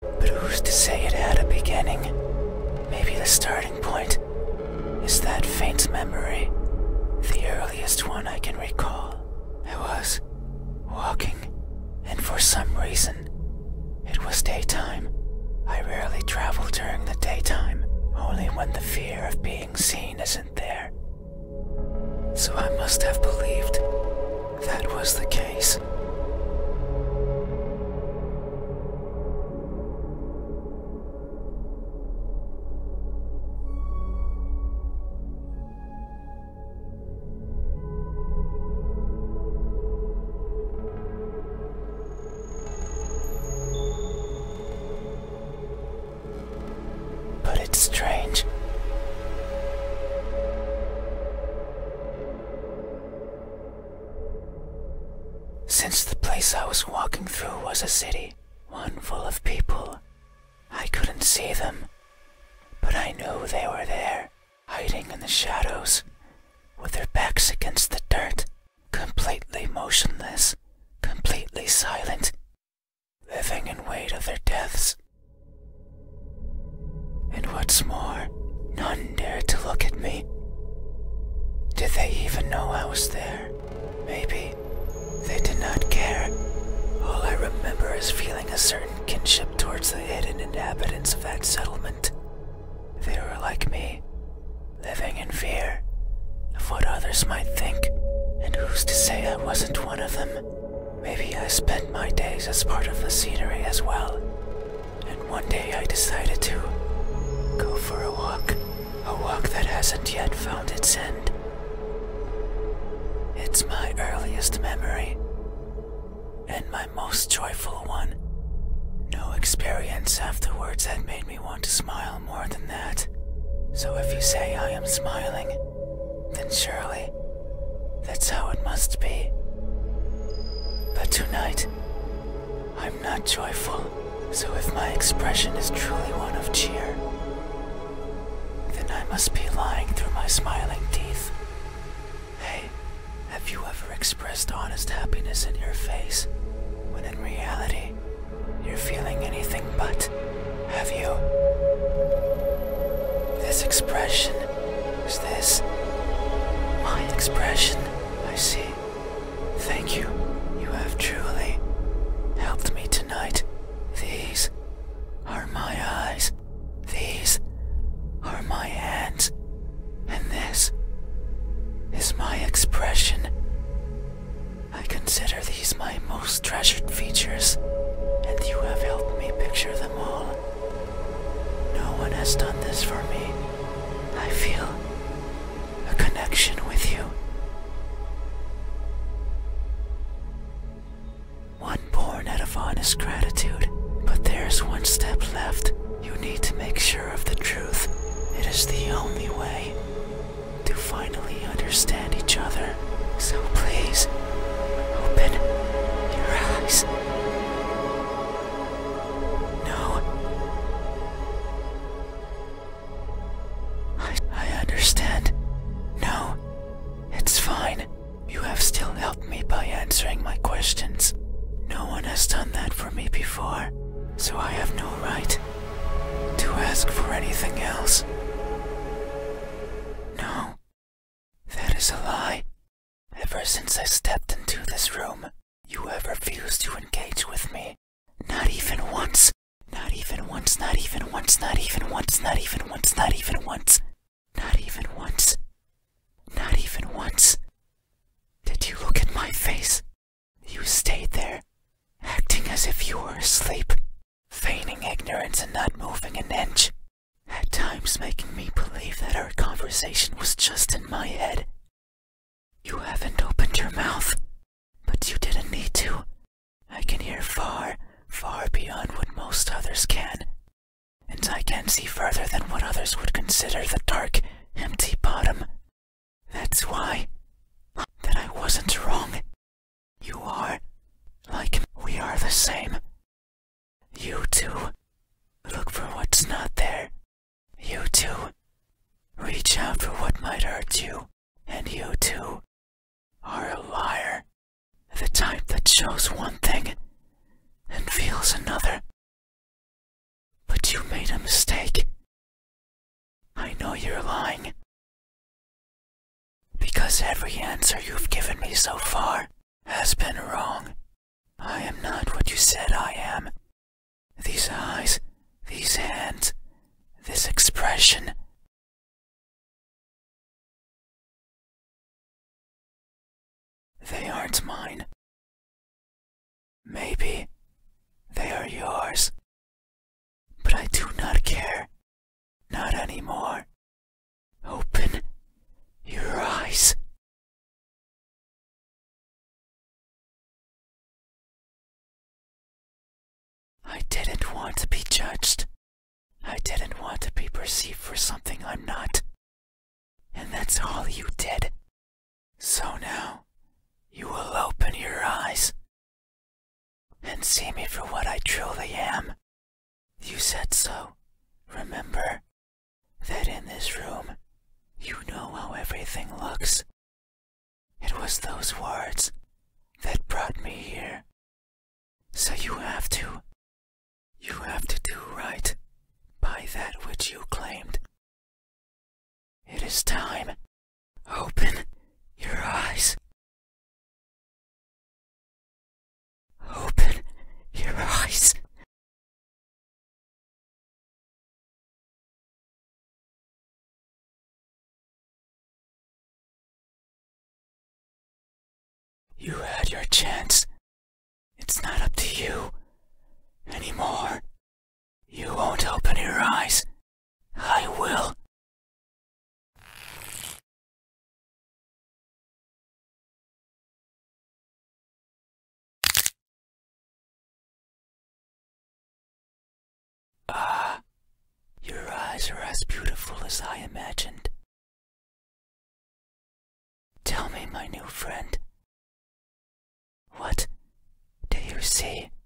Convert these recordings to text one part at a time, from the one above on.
But who's to say it had a beginning? Maybe the starting point is that faint memory, the earliest one I can recall. I was walking, and for some reason, it was daytime. I rarely travel during the daytime, only when the fear of being seen isn't there. So I must have believed that was the case. But it's strange. Since the place I was walking through was a city, one full of people, I couldn't see them, but I knew they were there, hiding in the shadows, with their backs against the dirt, completely motionless, completely silent, living in wait of their deaths. And what's more, none dared to look at me. Did they even know I was there? Maybe. They did not care. All I remember is feeling a certain kinship towards the hidden inhabitants of that settlement. They were like me, living in fear of what others might think, and who's to say I wasn't one of them? Maybe I spent my days as part of the scenery as well, and one day I decided to go for a walk, a walk that hasn't yet found its end. It's my earliest memory, and my most joyful one. No experience afterwards had made me want to smile more than that. So if you say I am smiling, then surely that's how it must be. But tonight, I'm not joyful. So if my expression is truly one of cheer, then I must be lying through my smiling teeth. Hey, have you ever expressed honest happiness in your face when in reality you're feeling anything but, have you? This expression. Is this? My expression. I see. Thank you. You have truly helped me tonight. These are my eyes. These are my hands. And this is my expression. I consider these my most treasured features, and you have helped me picture them all. No one has done this for me. I feel a connection with you. One born out of honest gratitude, but there's one step left. You need to make sure of the truth. It is the only way to finally understand each other. So please, open your eyes. No. I, I understand. No. It's fine. You have still helped me by answering my questions. No one has done that for me before, so I have no right to ask for anything else. No, that is a lie. Ever since I stepped into this room, you have refused to engage with me. Not even once. Not even once, not even once, not even once, not even once, not even once. Not even once. Not even once. Did you look at my face? You stayed there, acting as if you were asleep, feigning ignorance and not moving an inch, at times making me believe that our conversation was just in my head. You haven't opened your mouth, but you didn't need to. I can hear far, far beyond what most others can, and I can see further than what others would consider the dark, empty bottom that's why that I wasn't wrong. You are like we are the same. You two look for what's not there. You two reach out for what might hurt you. And you two are a liar. The type that shows one thing and feels another. But you made a mistake. I know you're lying. Because every answer you've given me so far has been wrong. I am not what you said I am. These eyes, these hands, this expression. They aren't mine. Maybe they are yours. But I do not care. Not anymore. Open your eyes. I didn't want to be judged. I didn't want to be perceived for something I'm not. And that's all you did. So now, you will open your eyes and see me for what I truly am. You said so. Remember that in this room, you know how everything looks. It was those words that brought me here. So you have to. You have to do right by that which you claimed. It is time. Open your eyes. Open your eyes. You had your chance. It's not up to you anymore. You won't open your eyes. I will. Ah, your eyes are as beautiful as I imagined. Tell me, my new friend, what do you see?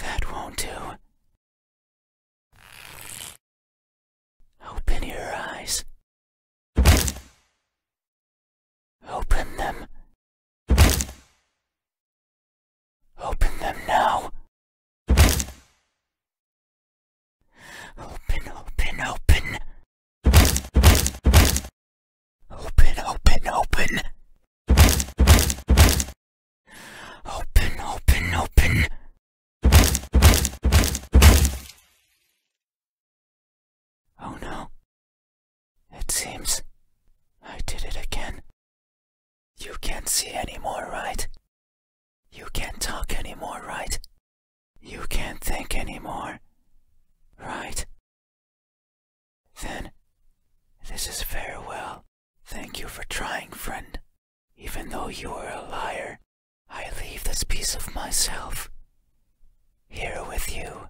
That won't do. Open your eyes. Open them. Open them now. Open, open, open. Open, open, open. Open, open, open. Oh no. It seems I did it again. You can't see anymore, right? You can't talk anymore, right? You can't think anymore, right? Then, this is farewell. Thank you for trying, friend. Even though you are a liar, I leave this piece of myself here with you.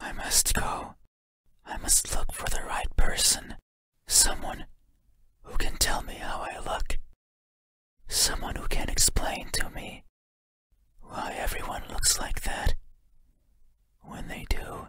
I must go. I must look for the right person. Someone who can tell me how I look. Someone who can explain to me why everyone looks like that when they do.